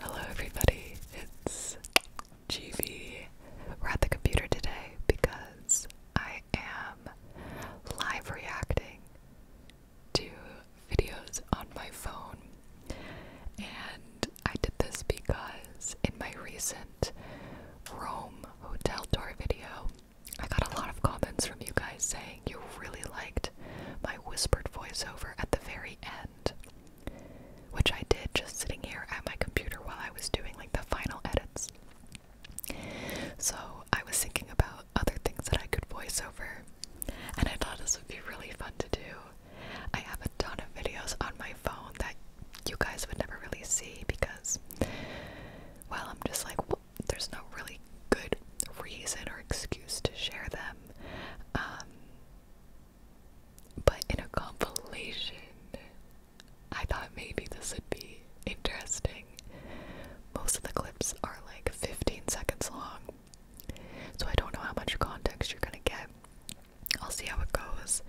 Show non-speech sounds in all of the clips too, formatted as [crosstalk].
Hello everybody, it's GV. We're at the computer today because I am live reacting to videos on my phone. And I did this because in my recent Rome hotel tour video, I got a lot of comments from you guys saying you really liked my whispered voiceover at the very end, which I did just sitting here at my computer while I was doing like the final edits. So I was thinking about other things that I could voiceover, and I thought this would be really fun to do. I have a ton of videos on my phone that you guys would never really see because, well, I'm just like, there's no really good reason or excuse to share them. Um, but in a compilation, I thought maybe this would be interesting. Most of the clips are like 15 seconds long, so I don't know how much context you're gonna get. I'll see how it goes.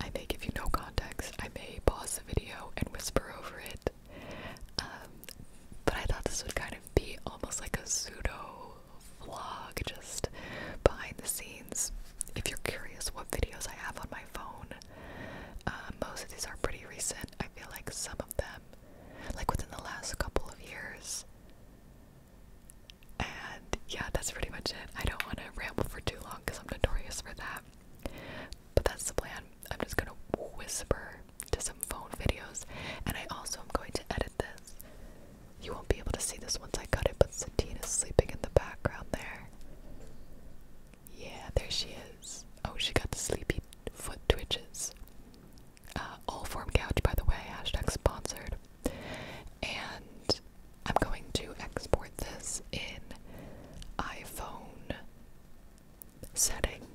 I may give you no context, I may pause the video and whisper over it. Um, but I thought this would kind of be almost like a pseudo vlog, just behind the scenes. If you're curious what videos I have on my phone, uh, most of these are pretty recent. I feel like some of them, like within the last couple of years. And yeah, that's pretty much it. I don't want to ramble for too long because I'm notorious for that. But that's the plan. I'm just gonna whisper to some phone videos, and I also am going to edit this you won't be able to see this once I cut it, but Satine is sleeping in the background there. Yeah, there she is. Oh, she got the sleepy foot twitches. Uh, all form couch, by the way, hashtag sponsored. And I'm going to export this in iPhone setting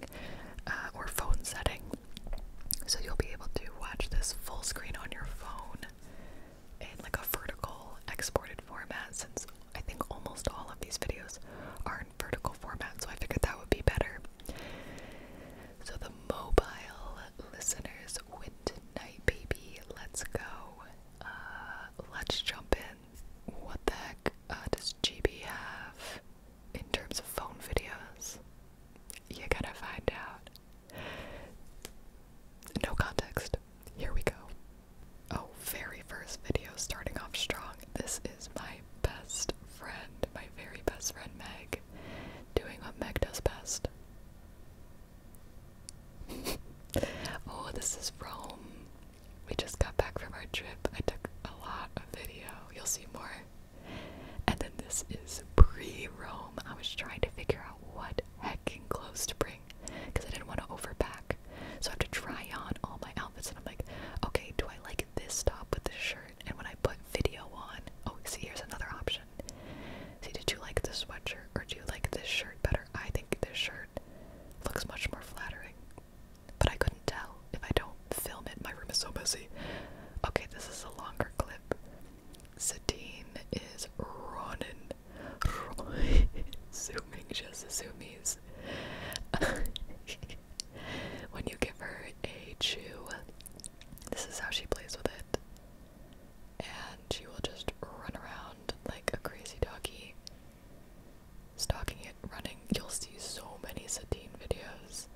uh, or phone setting so you'll be able to watch this full screen on your phone in like a vertical exported format since I think almost all of these videos are in vertical format, so I figured that would be better. So the mobile listeners wind tonight, baby. Let's go. Uh, let's jump in. What the heck uh, does GB have? in terms of phone videos, you gotta find out. No context. Here we go. Oh, very first video starting off strong. This is my best friend, my very best friend Meg, doing what Meg does best. [laughs] oh, this is Rome. We just got back from our trip. I took a lot of video. You'll see more. And then this is pre-Rome. I was trying to figure out what heckin' clothes to bring because I didn't want to overpack. So I have to try on all my outfits and I'm like, okay, do I like this top with this shirt? And when I put video on, oh, see, here's another option. See, did you like this sweatshirt or do you like this shirt better? I think this shirt looks much more flattering. But I couldn't tell if I don't film it. My room is so messy. Okay, this is a longer clip. Satine is running, [laughs] Zooming just zoomies. [laughs] when you give her a chew, this is how she plays with it. And she will just run around like a crazy doggy, stalking it, running. You'll see so many Satine videos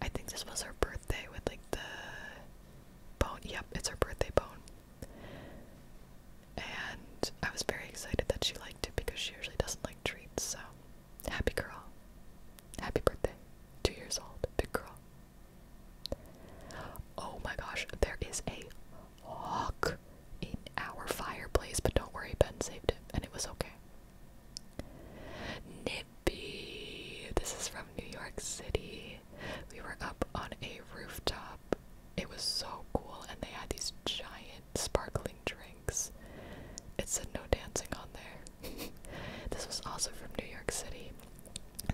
I think this was her birthday with like the bone. Yep, it's her birthday bone. And I was very excited that she liked it because she usually doesn't like treats, so happy girl. Happy birthday. Two years old. Big girl. Oh my gosh, there is a hawk in our fireplace, but don't worry, Ben saved it, and it was okay. Mississippi. This is from New York City. We were up on a rooftop. It was so cool, and they had these giant sparkling drinks. It said no dancing on there. [laughs] this was also from New York City.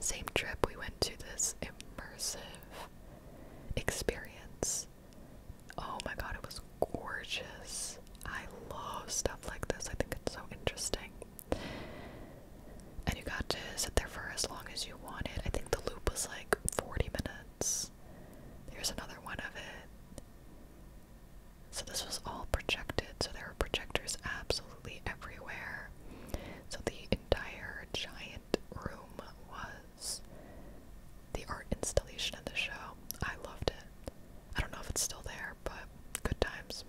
Same trip, we went to this immersive experience. Oh my god, it was gorgeous. I love stuff like this. I think it's so interesting. And you got to sit there for as long as you wanted. I think the loop was like 40 minutes. Here's another one of it. So this was all projected, so there were projectors absolutely everywhere. So the entire giant room was the art installation of the show. I loved it. I don't know if it's still there, but good times.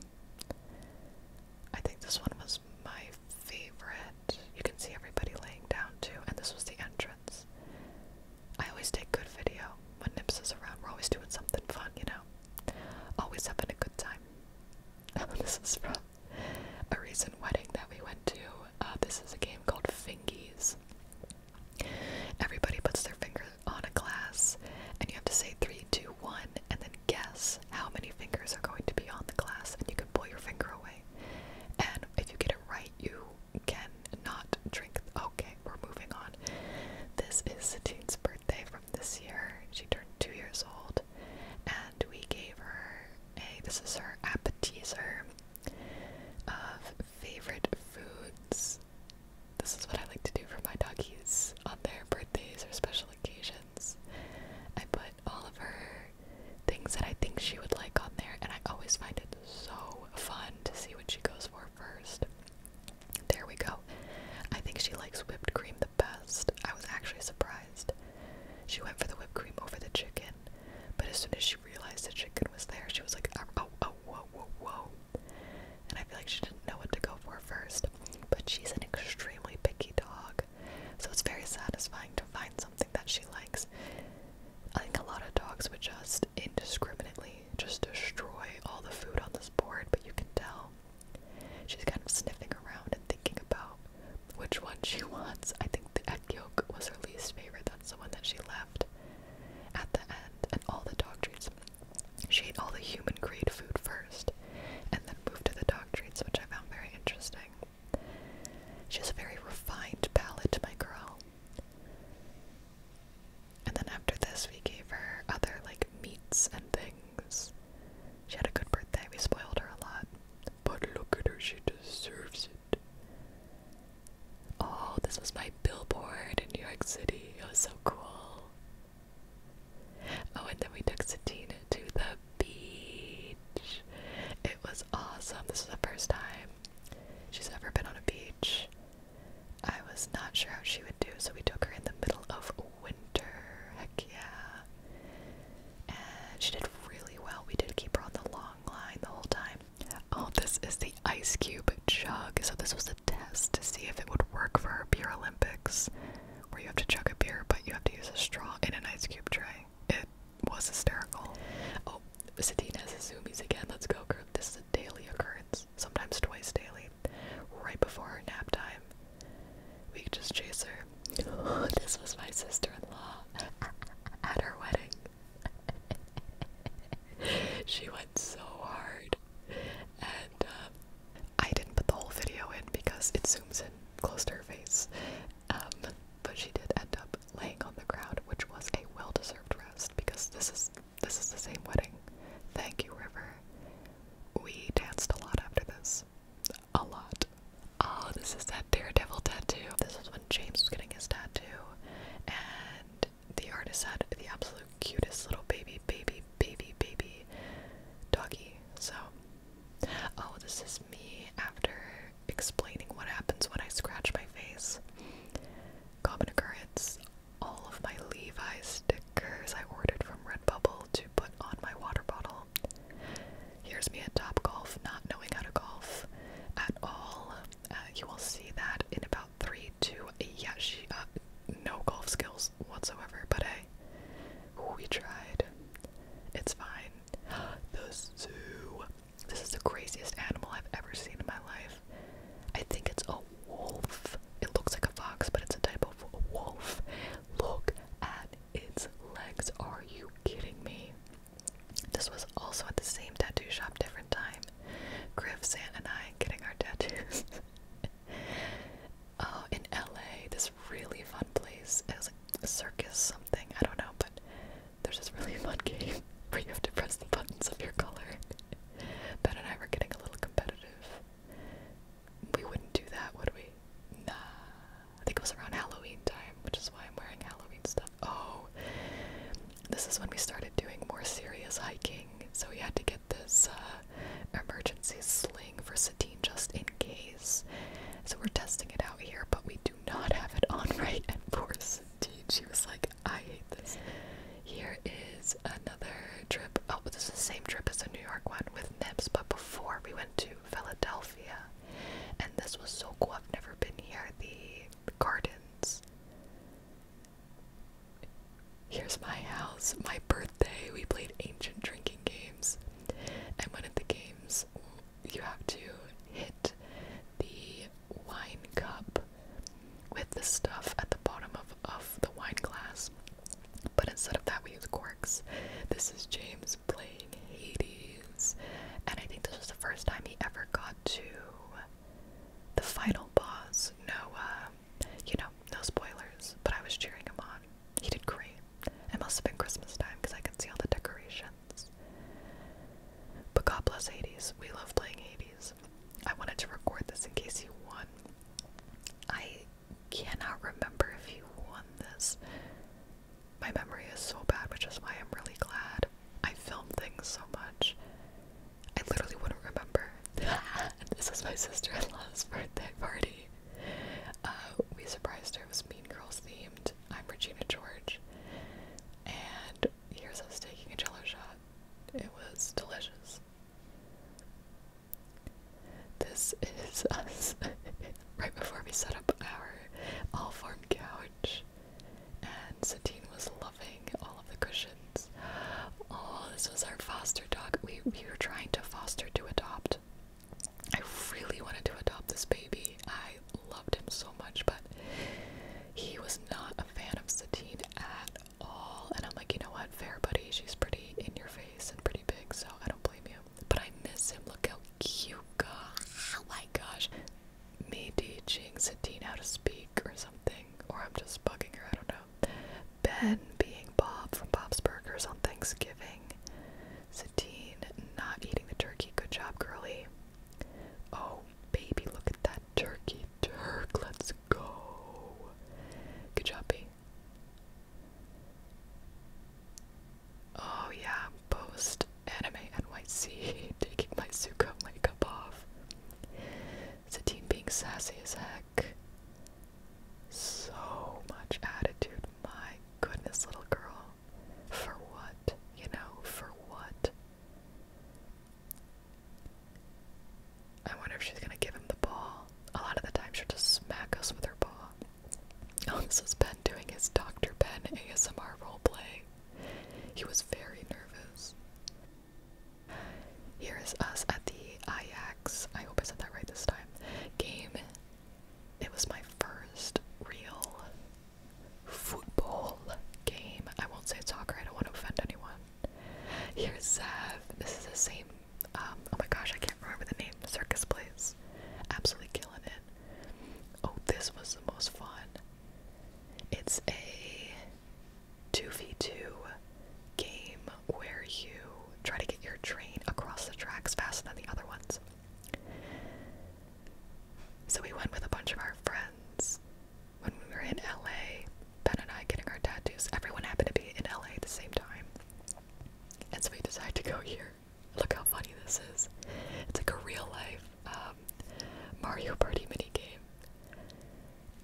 I think this one was my favorite. You can see everybody laying down too, and this was the entrance. I always take good video when Nips is around. We're always doing something fun, you know? Always having a good time. [laughs] this is from a recent wedding that we went to. Uh, this is a game called Fingies. Everybody puts their fingers on a glass, and you have to say three, two, one, and then guess how many fingers are going to be on the glass, and you can pull your finger away. And if you get it right, you can not drink. Okay, we're moving on. This is Satine's birthday from this year. She turned two years old, and we gave her a. This is her appetizer of favorite foods. This is what I like to do for my doggies on their birthdays or special occasions. I put all of her things that I think she would like on there, and I always find it so fun to see what she goes for first. There we go. I think she likes whipped cream the best. I was actually surprised. She went for the whipped cream over the chicken, but as soon as she realized the chicken was there, she was like, oh, oh, oh whoa, whoa, whoa and I feel like she didn't know what to go for first. But she's an extremely picky dog, so it's very satisfying to find something that she likes. I think a lot of dogs would just indiscriminately just destroy all the food on this board, but you can tell she's kind of sniffing around and thinking about which one she [laughs] wants. I think the egg yolk was her least favorite. That's the one that she left at the end, and all the dog treats she ate all the human grade food first, and then moved to the dog treats, which I found very interesting. She has a very refined palate, my girl. And then after this, we gave her other like meats and things. She had a good birthday, we spoiled her a lot. But look at her, she deserves it. Oh, this was my billboard in New York City. It was so cool. Oh, and then we took Satina to the beach. It was awesome. This is the first time she's ever been on a beach. I was not sure how she would do, so we took her in the middle of winter. Heck yeah. And she did really well. We did keep her on the long line the whole time. Oh, this is the ice cube jug. So this was a test to see if it would work for her beer Olympics where you have to chuck a beer but you have to use a straw in an ice cube tray. It was hysterical. Oh, Satine has his zoomies again. Let's go, group. This is a daily occurrence, sometimes twice daily, right before our nap time. We just chase her. Oh, [gasps] this was my sister-in-law [laughs] at her wedding. [laughs] she went so hard, and um, I didn't put the whole video in because it zooms in close to her face. Um, but she did end up laying on the ground, which was a well-deserved rest because this is this is the same wedding. Thank you, River. We danced a lot after this. A lot. Oh, this is that daredevil tattoo. This is when James was getting his tattoo, and the artist had the absolute cutest little baby, baby, baby, baby doggy so, oh, this is me after explaining what happens when I scratch my face. Common occurrence all of my Levi's stickers I ordered from Redbubble to put on my water bottle. Here's me at top golf, not knowing how to golf at all. Uh, you will see that in about three to yeah, she uh, no golf skills whatsoever, but a we tried. It's fine. [gasps] The zoo. This is the craziest animal I've ever seen in my life. I think it's a wolf. It looks like a fox, but it's a type of wolf. Look at its legs. Are you kidding me? This was also at the same tattoo shop, different time. Griff, Santa, and I getting our tattoos. [laughs] uh, in LA, this really fun place. It was like a circus something, I don't know, but there's this really [laughs] fun game where you have to press the buttons of your color. ben and I were getting a little competitive. We wouldn't do that, would we? Nah. I think it was around Halloween time, which is why I'm wearing Halloween stuff. Oh, this is when we started doing more serious hiking, so we had to get this uh, emergency sling for Sadine, just in case. So we're testing it out here, but we do not have it on [laughs] right. And poor Satine, she was like, I hate this. Here is another trip. Oh, this is the same trip as the New York one with Nibs. but before we went to Philadelphia. And this was so cool. I've never been here. The gardens. Here's my house. My birthday. We played ancient drinking games. And one of the games, you have to hit the wine cup with the stuff at the bottom of, of the wine glass. But instead of that, we use corks. This is James playing Hades. And I think this was the first time he ever got to the final boss, Noah. You know, no spoilers, but I was cheering him on. He did great. It must have been Christmas time because I could see all the decorations. But God bless Hades. We love playing Hades. I wanted to record this in case you won. I cannot remember if you won this. My memory is so bad, which is why I'm really glad. I filmed things so much. I literally wouldn't remember. [laughs] this is my sister in law's birthday party. Uh, we surprised her. It was Mean Girls themed. I'm Regina George. And here's us taking a jello shot. It was delicious. This is [laughs] us right before we set up our all form couch. And Satine was loving all of the cushions. Oh, this was our foster dog. We, we were trying to foster to adopt I really wanted to adopt this baby. I loved him so much, but he was not a fan of Satine at all. And I'm like, you know what, fair buddy, she's pretty in your face and pretty big, so I don't blame you. But I miss him. Look how cute, God. Oh my gosh. Me teaching Satine how to speak or something, or I'm just bugging her, I don't know. Ben being Bob from Bob's Burgers on Thanksgiving. Sadine not eating the turkey. Good job, girly. Oh, baby, look at that turkey turk. Let's go. Good job, B. Oh, yeah, post anime NYC, [laughs] taking my Zuko makeup off. Satine being sassy as heck. So much attitude. My goodness, little girl. For what? You know, for what? I wonder if she's gonna give him the ball. A lot of the time she'll just smack us with her paw. Oh, this is Ben doing his Dr. Ben ASMR role play. He was very nervous. Here is us at the IAX. I hope I said that right this time, game it was my first real football game. I won't say soccer, I don't want to offend anyone. Here's Zev. This is the same, um, oh my gosh, I can't remember the name. Circus Place. Absolutely killing it. Oh, this was the most fun. It's a 2v2 game where you try to get your train across the tracks faster than the other ones. So we went with a bunch of our friends when we were in LA. Ben and I getting our tattoos. Everyone happened to be in LA at the same time. And so we decided to go here. Look how funny this is. It's like a real life um, Mario Party mini game.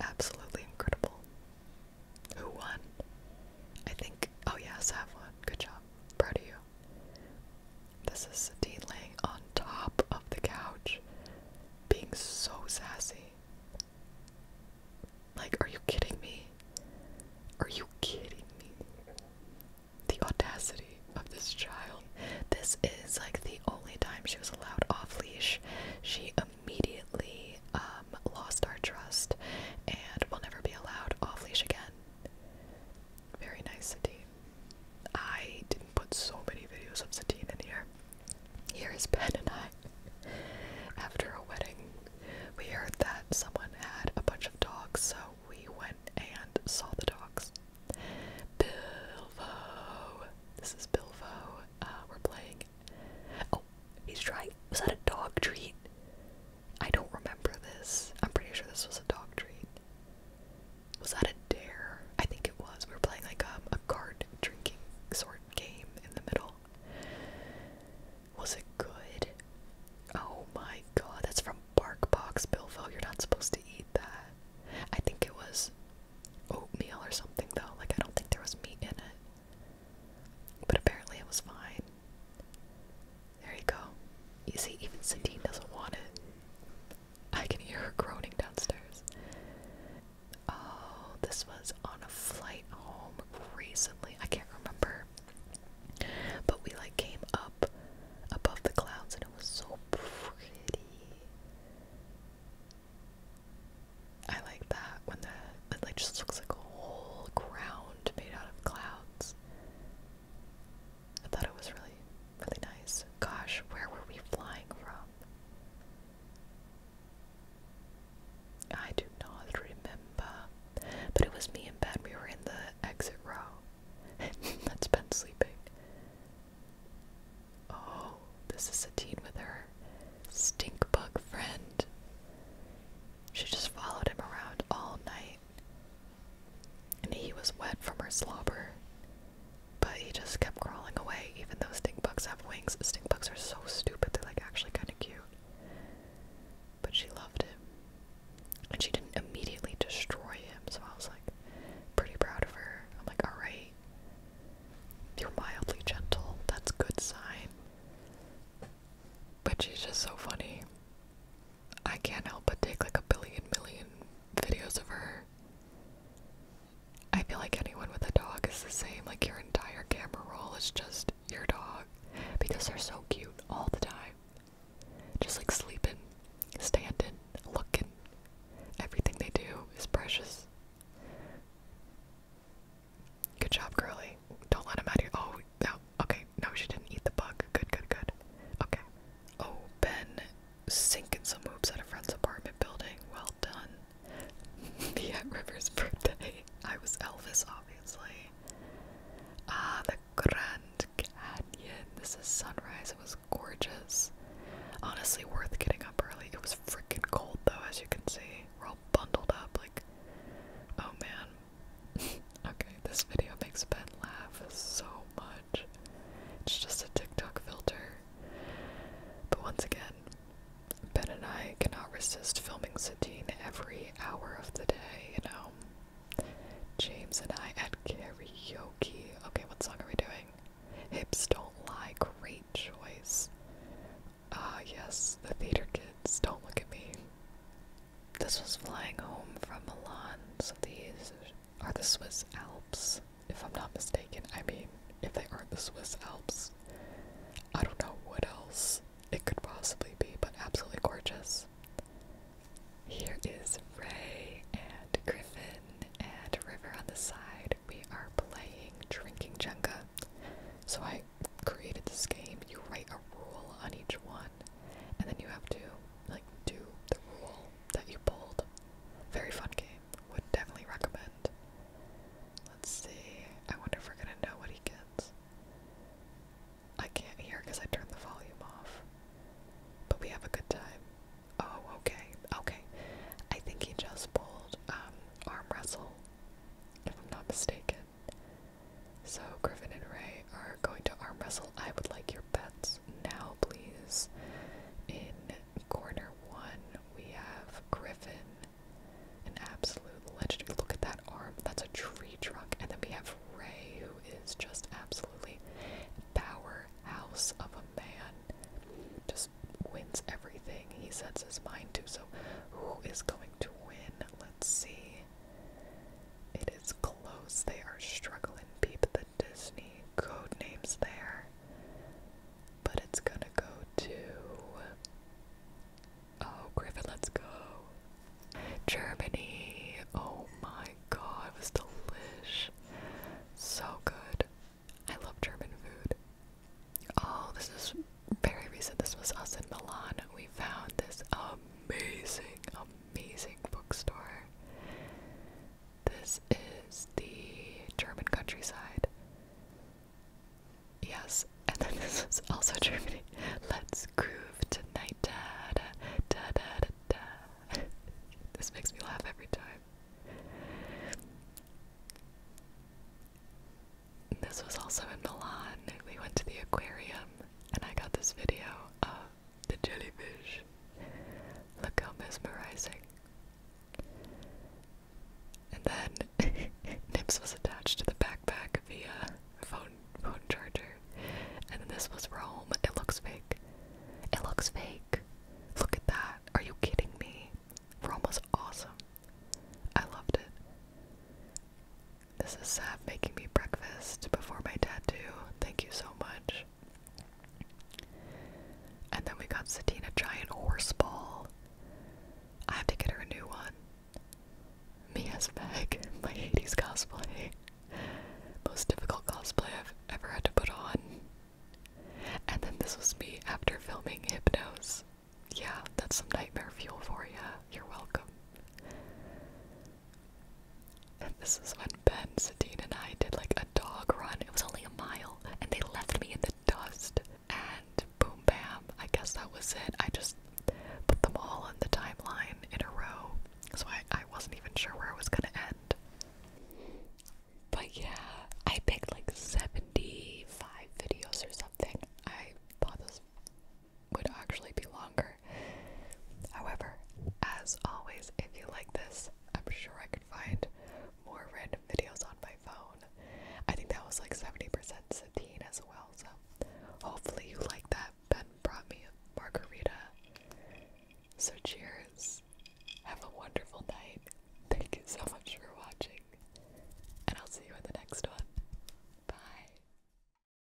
Absolutely incredible. Who won? I think. Oh, yes, I have one. Good job. Proud of you. This is Dean laying on top of the couch, being so sassy. Like, are you kidding me? Are you kidding me? The audacity of this child. This is like the only time she was allowed off leash. She immediately uh, um, lost our trust and will never be allowed off leash again. Very nice, Satine. I didn't put so many videos of Satine in here. Here is Ben and I. After a wedding, we heard that someone had a bunch of dogs, so we went and saw the dogs. Bilbo. This is Bilbo. Uh, we're playing. Oh, he's trying. Was that a dog treat? I don't remember this. I'm pretty sure this was a dog treat. Was that a dare? I think it was. We were playing like a, um, a card drinking sort game in the middle. Was it good? Oh my god, that's from Bark Barkbox Billville. You're not supposed to eat that. I think it was oatmeal or something though. Like I don't think there was meat in it. But apparently it was fine. There you go. You see, even Sadine doesn't want it. I can hear her groaning downstairs. Oh, this was on a flight home recently. I can't remember. But we like came up above the clouds and it was so pretty. I like that when the it like just looks like a whole ground made out of clouds. I thought it was really, really nice. Gosh, where were we flying from? I do not remember, but it was me and Ben. We were in the exit row. [laughs] That's Ben sleeping. Oh, this is Satine with her stink bug friend. She just followed him around all night, and he was wet from her slobber. But he just kept crawling away, even though stink bugs have wings. Stink bugs are so stupid, they're like actually kind of cute. But she loved him. And she didn't immediately destroy him, so I was like pretty proud of her. I'm like, alright, you're mildly gentle, that's good sign. But she's just so funny. I can't help but take like a billion million videos of her. I feel like anyone with a dog is the same. Like your entire camera roll is just your dog because they're so cute all the time. Just like sleeping, standing, looking. Everything they do is precious. Good job, Curly. Don't let him out of your. Oh, no, Okay, no, she didn't eat the bug. Good, good, good. Okay. Oh, Ben sink in some hoops at a friend's apartment building. Well done. yeah, [laughs] River's birthday. I was Elvis, obviously. Ah, the Grand Canyon. This is sunrise. It was gorgeous. Honestly, worth getting up early. It was freaking cold, though, as you can see. We're all bundled up. Like, oh man. [laughs] okay, this video makes Ben laugh so much. It's just a TikTok filter. But once again, Ben and I cannot resist filming Satine every hour of the day, you know? James and I at karaoke. Okay, what song are we doing? Hips Don't Lie. Great choice. Ah, yes, the theater kids. Don't look at me. This was flying home from Milan, so these are the Swiss Alps, if I'm not mistaken. I mean, if they aren't the Swiss Alps, I don't know what else it could possibly be, but absolutely gorgeous. Here is Ray and Griffin and River on the side. We are playing Drinking Jenga. So I created this game, you write a rule on each one, and then you have to like do the rule that you pulled. Very fun game. Would definitely recommend. Let's see. I wonder if we're gonna know what he gets. I can't hear because I turned the volume off. But we have a good time. Oh, okay. Okay. I think he just pulled um arm wrestle, if I'm not mistaken. So Griffin and Ray are going to arm wrestle. I would like your bets now, please. In corner one, we have Griffin, an absolute legend. Look at that arm. That's a tree trunk. And then we have Ray, who is just absolutely powerhouse of a man. Just wins everything he sets his mind to. So who is going to win? Let's see. It is close. They are struggling beat the Disney code names there. But it's gonna go to Oh, Griffin, let's go. Germany. Oh my god, it was delish. So good. I love German food. Oh, this is very recent. This was us in Milan. We found this amazing, amazing bookstore. This is the German countryside. Yes, and then this is also [laughs] Germany. Let's groove tonight. da, da, da, da, da. [laughs] this makes me laugh every time. This was also in Milan. We went to the aquarium and I got this video the jellyfish. Look how mesmerizing. And then [laughs] Nips was attached to the backpack via phone phone charger. And then this was Rome. It looks fake. It looks fake. Look at that. Are you kidding me? Rome was awesome. I loved it. This is Sab making me breakfast before my tattoo. Thank you so much. And then we got Satina giant horse ball. I have to get her a new one. Me Mia's bag, [laughs] my Hades cosplay. Most difficult cosplay I've ever had to put on. And then this was me after filming Hypnos. Yeah, that's some nightmare fuel for you. You're welcome. And this is when Ben, Sadine, and I did like a dog run. It was only a mile, and they left me in the dust. And boom, bam, I guess that was it. I just put them all on the timeline in a row, so I, wasn't even sure where it was gonna end. But yeah, I picked like 75 videos or something. I bought this would actually be longer. However, as always, if you like this, I'm sure I could find more random videos on my phone. I think that was like 70% Satine as well, so hopefully you like that. Ben brought me a margarita. So cheers. Have a wonderful night. Thank you so much for watching. And I'll see you in the next one. Bye.